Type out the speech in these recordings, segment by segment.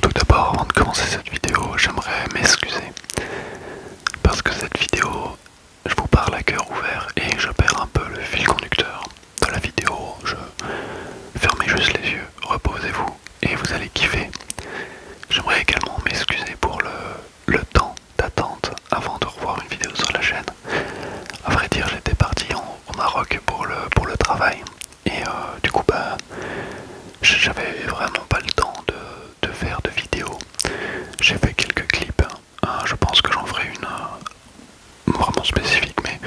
Tout d'abord, avant de commencer cette vidéo, j'aimerais m'excuser parce que cette vidéo, je vous parle à cœur ouvert et je perds un peu le fil conducteur de la vidéo. Je fermez juste les yeux, reposez-vous et vous allez kiffer. J'aimerais également m'excuser pour le, temps d'attente avant de revoir une vidéo sur la chaîne. À vrai dire, j'étais parti au Maroc pour le travail. Et euh, du coup, bah, j'avais vraiment pas le temps de, faire de vidéos. J'ai fait quelques clips. Hein. Euh, je pense que j'en ferai une euh, vraiment spécifique, mais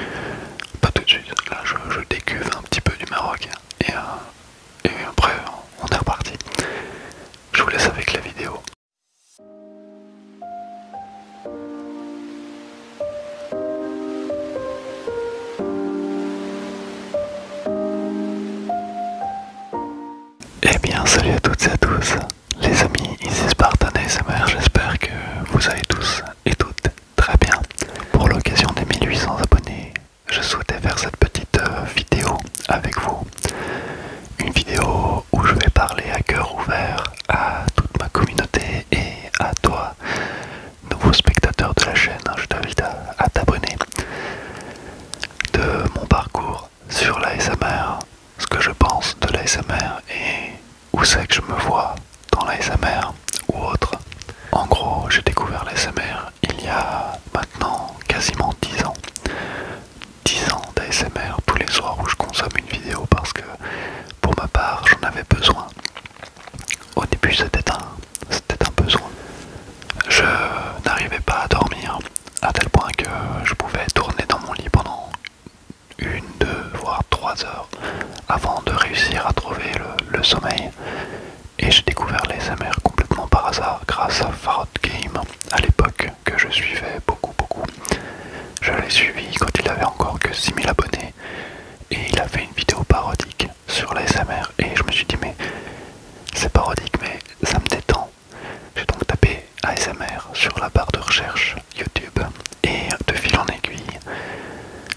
pas tout de suite. Là, je, décuve un petit peu du Maroc. et après, on est reparti. Je vous laisse avec la vidéo. Eh bien salut à toutes et à tous les amis, ici Spartan ASMR, j'espère que vous allez tous et toutes très bien. Pour l'occasion des 1800 abonnés, je souhaitais faire cette petite euh, vidéo avec vous. Une vidéo où je vais parler à cœur ouvert à toute ma communauté et à toi, nouveau spectateur de la chaîne, hein, je t'invite à, t'abonner de mon parcours sur l'ASMR, ce que je pense de l'ASMR et où c'est que je me vois dans l'ASMR ou autre. En gros, j'ai découvert l'ASMR il y a maintenant quasiment 10 ans. 10 ans d'ASMR tous les soirs où je consomme une vidéo parce que pour ma part j'en avais besoin. Au début, c'était un, c'était un besoin. Je n'arrivais pas à dormir à tel point que je pouvais tourner dans mon lit pendant une, deux, voire trois heures avant de réussir à trouver le, sommeil. Et j'ai découvert les complètement par hasard grâce à Farod Game à l'époque que je suivais beaucoup beaucoup. Je l'ai suivi quand il avait encore que 6000 abonnés et il avait une vidéo parodique sur l'ASMR et je me suis dit mais c'est parodique mais ça me détend. J'ai donc tapé ASMR sur la barre de recherche YouTube et de fil en aiguille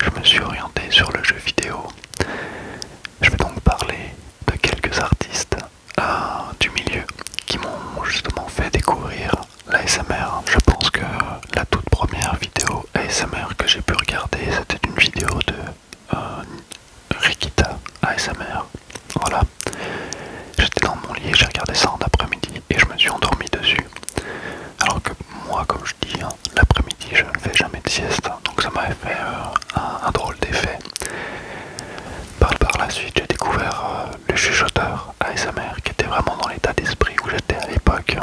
je me suis orienté sur le jeu vidéo. Je vais donc parler de quelques artistes euh, du milieu qui m'ont justement fait découvrir l'ASMR. Je pense que la toute première vidéo ASMR que j'ai pu regarder, c'était une vidéo de euh, Rikita ASMR. Voilà. J'étais dans mon lit, j'ai regardé ça en après-midi et je me suis endormi dessus. Alors que moi, comme je dis, hein, l'après-midi, je ne fais jamais de sieste, donc ça m'avait fait euh, un, drôle d'effet. Par, la suite, j'ai découvert euh, le chuchoteur ASMR qui était vraiment dans l'état d'esprit où j'étais à l'époque.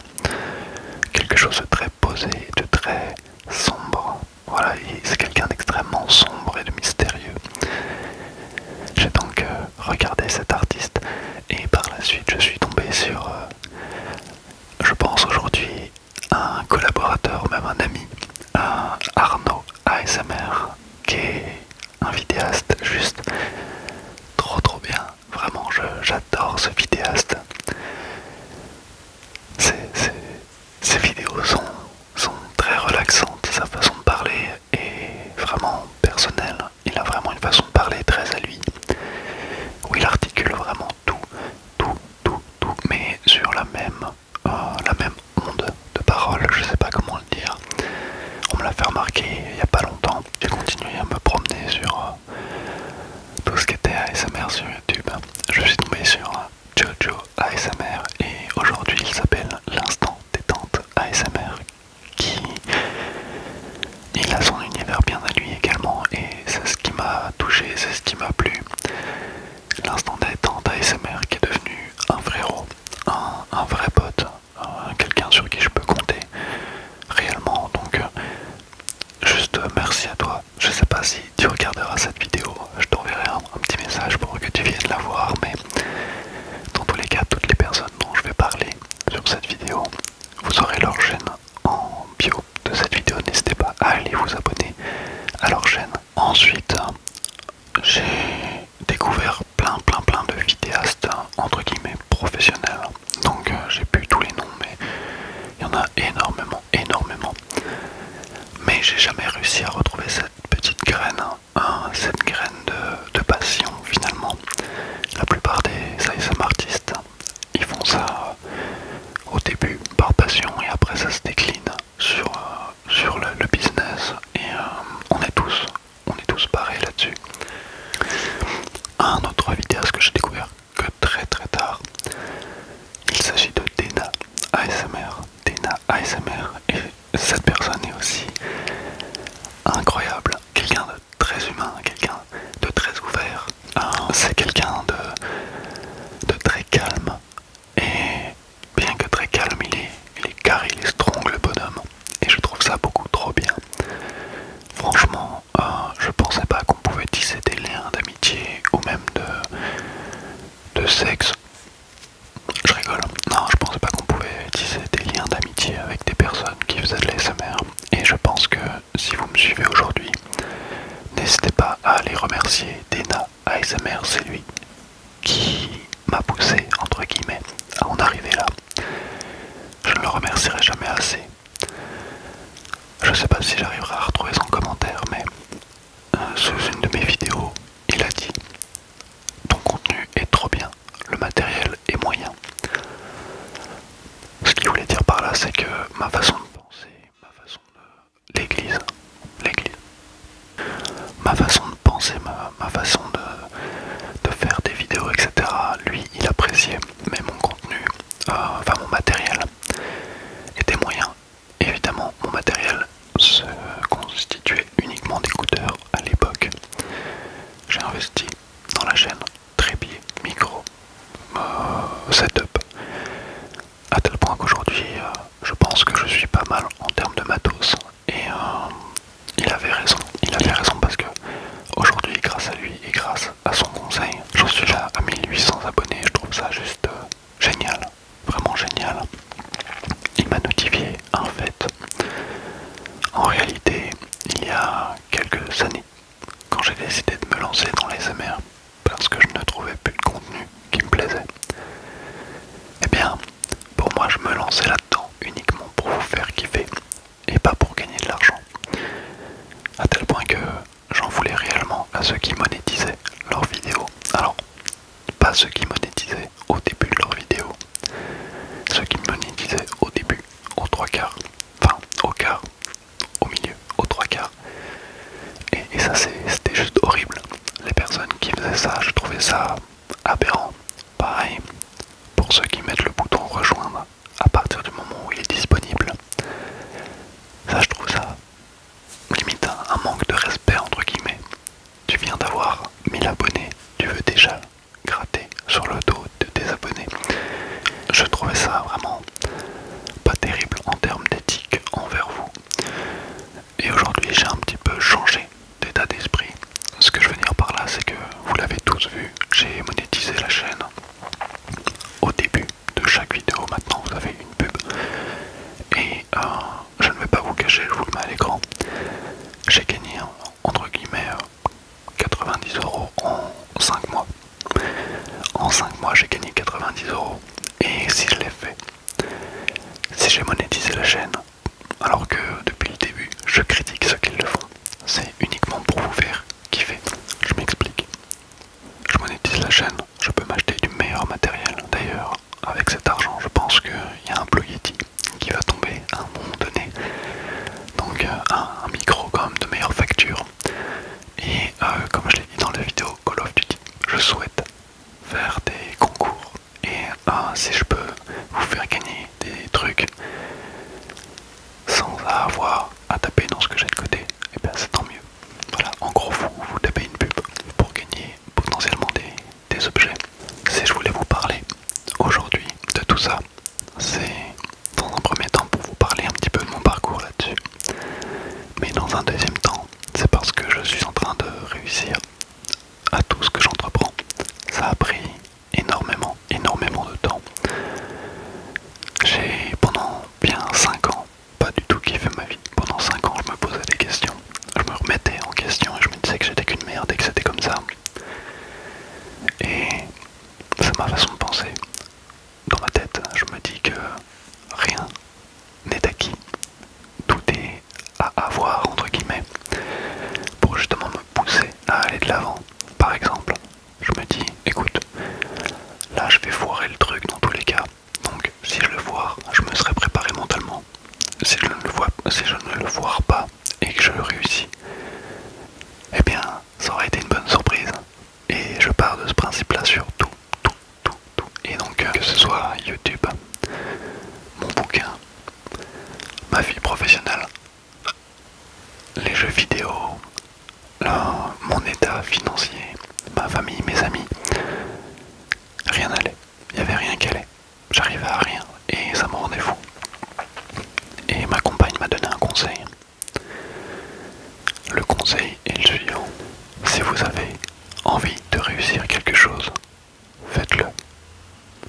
Quelque chose de très posé, de très sombre. Voilà, c'est quelqu'un d'extrêmement sombre et de mystérieux. J'ai donc euh, regardé cet artiste et par la suite je suis tombé sur, euh, je pense aujourd'hui, un collaborateur, même un ami, un Arnaud ASMR, qui est un vidéaste juste trop trop bien Vraiment, j'adore ce vidéaste. Ses, ses, vidéos sont, sont très relaxantes, sa façon de parler est vraiment personnelle. Il a vraiment une façon de parler très à lui, où il articule vraiment tout, tout, tout, tout, mais sur la même, euh, la même onde de parole, je sais pas comment le dire. On me l'a fait remarquer il n'y a pas longtemps. J'ai continué à me promener sur euh, tout ce qui était ASMR sur YouTube. Je suis tombé sur Jojo ASMR et aujourd'hui il s'appelle l'instant détente ASMR qui il a son univers bien à lui également et c'est ce qui m'a touché, c'est ce qui m'a plu. L'instant détente ASMR qui est devenu un vrai un, un vrai pote, euh, quelqu'un sur qui je peux compter réellement. Donc Juste euh, merci à toi. Je sais pas si tu regarderas cette vidéo, je t'enverrai un, petit message pour que tu viennes la voir, mais dans tous les cas, toutes les personnes dont je vais parler sur cette vidéo, vous aurez leur chaîne en bio de cette vidéo. N'hésitez pas à aller vous abonner à leur chaîne. Ensuite, j'ai découvert plein plein plein de vidéastes entre guillemets professionnels donc euh, j'ai pu tous les noms, mais il y en a énormément, énormément. Mais j'ai jamais réussi à retrouver cette petite graine, hein. Hein, cette graine de, passion finalement. La plupart des artistes, ils font ça euh, au début par passion et après ça se décline sur, euh, sur le, business et on est tous on est tous barrés là-dessus. Un autre ce que j'ai découvert que très très tard. Il s'agit de Dena ASMR. Dena ASMR et cette personne est aussi incroyable. Quelqu'un de très humain, quelqu'un de très ouvert. Hein, c'est quelqu'un de, de très calme. Et bien que très calme, il est, il est carré, il est strong le bonhomme. Et je trouve ça beaucoup trop bien. Franchement, euh, je pensais pas qu'on pouvait tisser des liens d'amitié ou même de, de sexe. Je rigole. Non, je pensais pas qu'on pouvait tisser des liens d'amitié avec des personnes qui faisaient de l'ASMR. Et je pense que si vous me suivez aujourd'hui, n'hésitez pas à aller remercier Dena ASMR, c'est lui qui m'a poussé, entre guillemets, à en arriver là. Je ne le remercierai jamais assez je ne sais pas si j'arriverai à retrouver son commentaire, mais euh, sous une de mes vidéos, il a dit Ton contenu est trop bien, le matériel est moyen. Ce qu'il voulait dire par là, c'est que ma façon de penser, ma façon de. l'église, l'église, ma façon de penser, ma, façon de, faire des vidéos, etc., lui, il appréciait, mais mon contenu, euh, enfin mon matériel, et des moyens. Évidemment, mon matériel se constituait uniquement d'écouteurs à l'époque. J'ai investi dans la chaîne trépied, micro, euh, setup, à tel point qu'aujourd'hui, euh, je pense que je suis pas mal en termes de matos. Et euh, il avait raison, il avait raison parce que aujourd'hui, grâce à lui et grâce à à son conseil. J'en suis là à 1800 abonnés, je trouve ça juste euh, génial, vraiment génial. Il m'a notifié un fait. En réalité, il y a quelques années, quand j'ai décidé de me lancer dans les MR, parce que je ne trouvais plus de contenu qui me plaisait, et eh bien, pour moi, je me lançais là-dedans uniquement pour vous faire kiffer et pas pour gagner de l'argent. À tel point que j'en voulais réellement à ceux qui monétisaient leurs vidéos. Alors, pas ceux qui monétisaient au début de leurs vidéos, ceux qui monétisaient au début, aux trois quarts, enfin au quart, au milieu, aux trois quarts. et ça, c'était juste horrible. Les personnes qui faisaient ça, je trouvais ça aberrant. Pareil, pour ceux qui mettent le bouton rejoindre à partir du moment où il est disponible. Ça, je trouve ça limite un manque de respect, entre guillemets. Tu viens d'avoir 1000 abonnés, tu veux déjà gratter sur le dos de tes abonnés. Je trouvais ça vraiment pas terrible en termes d'éthique envers vous. Et aujourd'hui, j'ai un petit peu changé d'état d'esprit. Ce que je veux dire par là, c'est que vous l'avez tous vu, j'ai monétisé la chaîne. Au début, de chaque vidéo maintenant vous avez une pub et euh, je ne vais pas vous cacher, je vous le mets à l'écran. J'ai gagné hein, entre guillemets 90 euh, euros en 5 mois. En 5 mois j'ai gagné 90 euros et si je l'ai fait, si j'ai monétisé la chaîne, alors que depuis le début je critique ceux qui le font, c'est uniquement pour vous faire kiffer. Je m'explique je monétise la chaîne, je peux m'acheter du meilleur matériel. D'ailleurs, avec cet argent, je pense qu'il y a un Blue qui va tomber à un moment donné. Donc euh, un, micro quand de meilleure facture. Et euh, comme je l'ai dit dans la vidéo Call of Duty, je souhaite faire des concours. Et euh, si je peux vous faire gagner des trucs sans avoir à taper dans ce que j'ai de côté, et eh bien c'est tant mieux. Voilà, en gros vous, vous tapez une pub pour gagner potentiellement des, des objets. Si je voulais vous parler aujourd'hui de tout ça, c'est dans un premier temps pour vous parler un petit peu de mon parcours là-dessus. Mais dans un deuxième temps, c'est parce que je suis en train de réussir à tout ce que j'entreprends. Ça a pris énormément, énormément de temps. J'ai pendant bien 5 ans, pas du tout fait ma vie. Pendant 5 ans, je me posais des questions. Je me remettais en question et je me disais que j'étais qu'une merde et que c'était comme ça. Et c'est ma façon de penser. Dans ma tête, je me dis que rien n'est acquis. Tout est à avoir, entre guillemets, pour justement me pousser à aller de l'avant. Par exemple, je me dis, écoute, là je vais foirer le truc dans tous les cas. Donc si je le vois, je me serais préparé mentalement. Si je ne le, vois, si je ne le vois pas et que je réussis, eh bien ça aurait été une bonne surprise. Et je pars de ce principe-là sur tout, tout, tout, tout. Et donc euh, que ce soit YouTube, mon bouquin, ma vie professionnelle, les jeux vidéo, là, mon état financier, ma famille, mes amis, rien n'allait. Il n'y avait rien qui allait. J'arrivais à rien et ça me rendait fou. Et ma compagne m'a donné un conseil. Le conseil est le suivant. Si vous avez envie de réussir quelque chose, faites-le.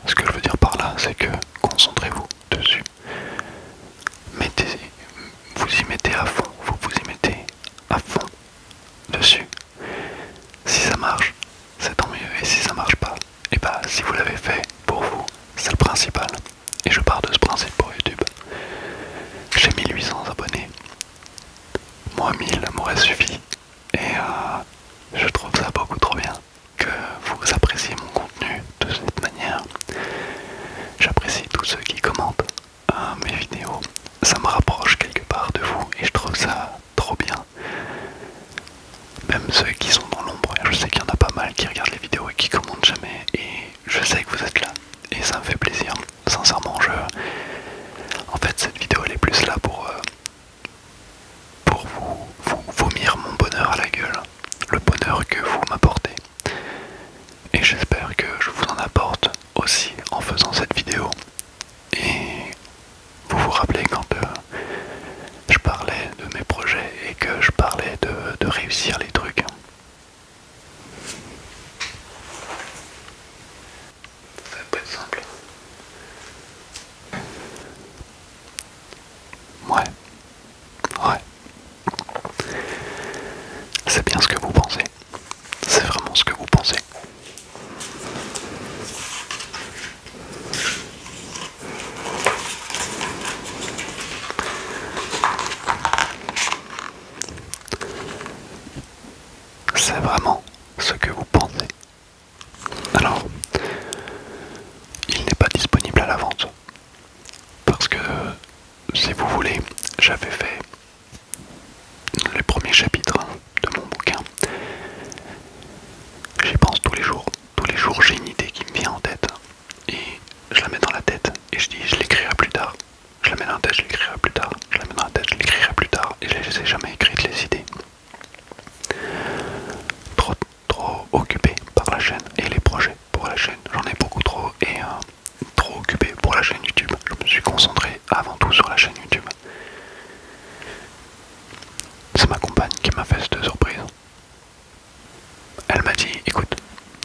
Ce que je veux dire par là, c'est que concentrez-vous dessus mettez, vous y mettez à fond, vous vous y mettez à fond dessus. Si ça marche, c'est tant mieux. Et si ça marche pas, et eh bah ben, si vous l'avez fait pour vous, c'est le principal. Et je pars de ce principe pour YouTube. J'ai 1800 abonnés. Moi 1000 m'aurait suffi. Et euh, je trouve ça beaucoup trop bien que vous appréciez mon contenu de cette manière. J'apprécie tous ceux qui commentent euh, mes vidéos. Ça me rapproche quelque part de vous et je trouve ça trop bien. Même ceux qui sont dans l'ombre, je sais qu'il y en a pas mal qui regardent les vidéos et qui commentent jamais. Et je sais que vous êtes là et ça me fait plaisir. Sincèrement, je... En fait, cette vidéo, elle est plus là pour... Euh, pour vous, vous vomir mon bonheur à la gueule, le bonheur que vous m'apportez. Et j'espère que je vous en apporte aussi en faisant cette vidéo. Et vous vous rappelez quand euh, je parlais de mes projets et que je parlais de, de réussir les trucs. Ça peut être simple. Ouais, Ouais. C'est bien ce que vous pensez. C'est vraiment ce que vous pensez. C'est vraiment ce que vous pensez. Alors, il n'est pas disponible à la vente. Parce que, si vous voulez, j'avais fait les premiers chapitres de mon bouquin. J'y pense tous les jours. Tous les jours, j'ai une idée qui me vient en tête. Et je la mets dans la tête. Et je dis, je l'écrirai plus tard. Je la mets dans la tête, je l'écrirai plus tard. Je la mets dans la tête, je l'écrirai plus tard. Et je n'ai jamais écrit les idées. Trop, trop occupé par la chaîne et les projets pour la chaîne. J'en ai beaucoup trop et euh, trop occupé pour la chaîne YouTube. Je me suis concentré avant tout sur la chaîne YouTube. C'est ma compagne qui m'a fait cette surprise. Elle m'a dit, écoute,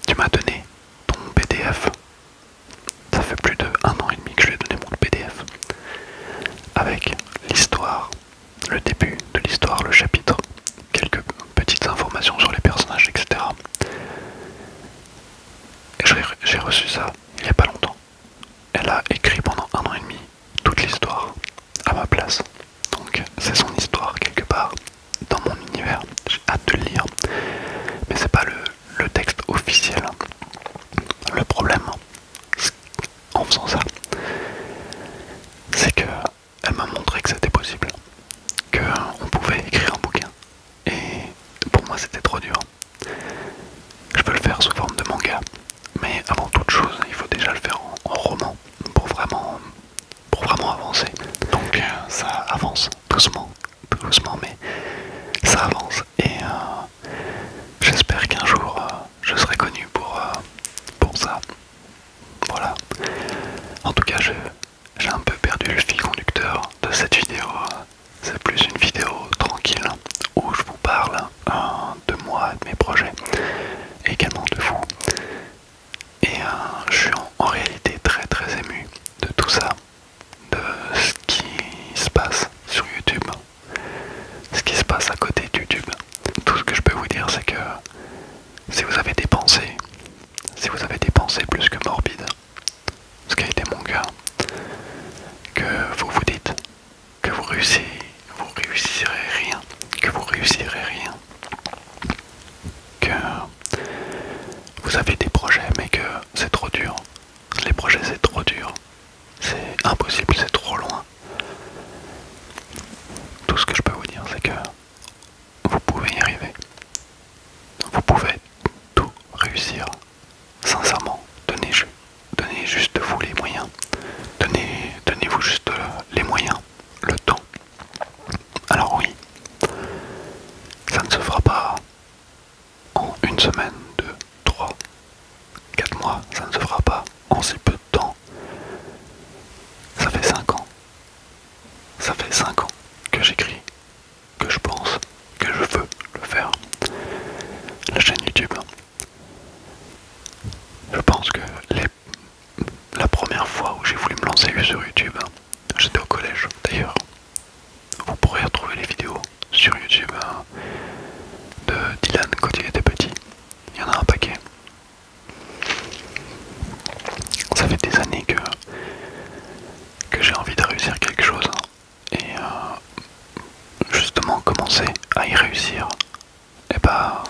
tu m'as donné ton PDF. Ça fait plus de un an et demi que je lui ai donné mon PDF. Avec l'histoire, le début de l'histoire, le chapitre, quelques petites informations sur les personnages, etc. j'ai reçu ça il n'y a pas longtemps. Elle a écrit pendant un an et demi toute l'histoire à ma place. Donc c'est son histoire quelque part dans mon univers. J'ai hâte de le lire. Mais c'est pas le, le texte officiel. Le problème en faisant ça, c'est que elle m'a montré que c'était possible, qu'on euh, pouvait écrire un bouquin. Et pour moi c'était trop dur. Je peux le faire sous forme de manga, mais avant toute chose, il faut déjà le faire en, roman pour vraiment, pour vraiment avancer. Donc euh, ça avance doucement, doucement, mais ça avance. Et euh, j'espère qu'un jour je serai connu pour, pour ça. Voilà. En tout cas, je, j'ai un peu perdu le fil conducteur de cette vidéo. C'est plus une vidéo tranquille où je vous parle euh, de moi, de mes projets, également de vous. Et euh, je suis en, en réalité très très ému de tout ça, de ce qui se passe sur YouTube, ce qui se passe à côté de YouTube. Tout ce que je peux vous dire, c'est que si vous avez des pensées si vous avez des pensées plus que morbides, ce qui a été mon cas, que vous vous dites que vous réussirez, vous réussirez rien, que vous réussirez rien, que vous avez des projets mais que c'est trop dur, les projets c'est trop dur, c'est impossible, c'est trop loin. Tout ce que je peux vous dire c'est que vous pouvez y arriver. Vous pouvez tout réussir. Sincèrement, donnez, juste vous les moyens. Donnez, donnez-vous juste euh, les moyens, le temps. Alors oui, ça ne se fera pas en une semaine, deux, trois, quatre mois. Ça ne se fera pas en si peu de temps. Ça fait cinq ans, ça fait 5 ans que j'écris, que je pense, que je veux le faire. La chaîne YouTube. Je pense que la première fois où j'ai voulu me lancer sur YouTube, j'étais au collège d'ailleurs. Vous pourrez retrouver les vidéos sur YouTube euh, de Dylan quand il était petit. Il y en a un paquet. Ça fait des années que que j'ai envie de réussir quelque chose hein. et euh, justement commencer à y réussir, et eh bah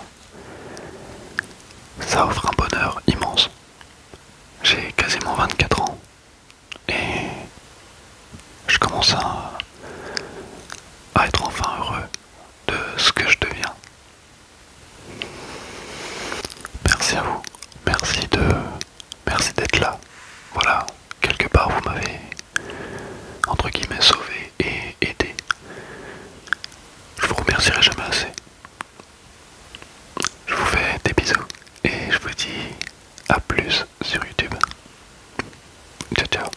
ben, ça offre un bonheur immense. J'ai quasiment 24 ans et je commence à être enfin heureux de ce que je deviens Merci à vous. Merci de. Merci d'être là. Voilà, quelque part vous m'avez entre guillemets sauvé et aidé. Je vous remercierai jamais assez. Je vous fais des bisous et je vous dis à plus sur YouTube. Ciao ciao.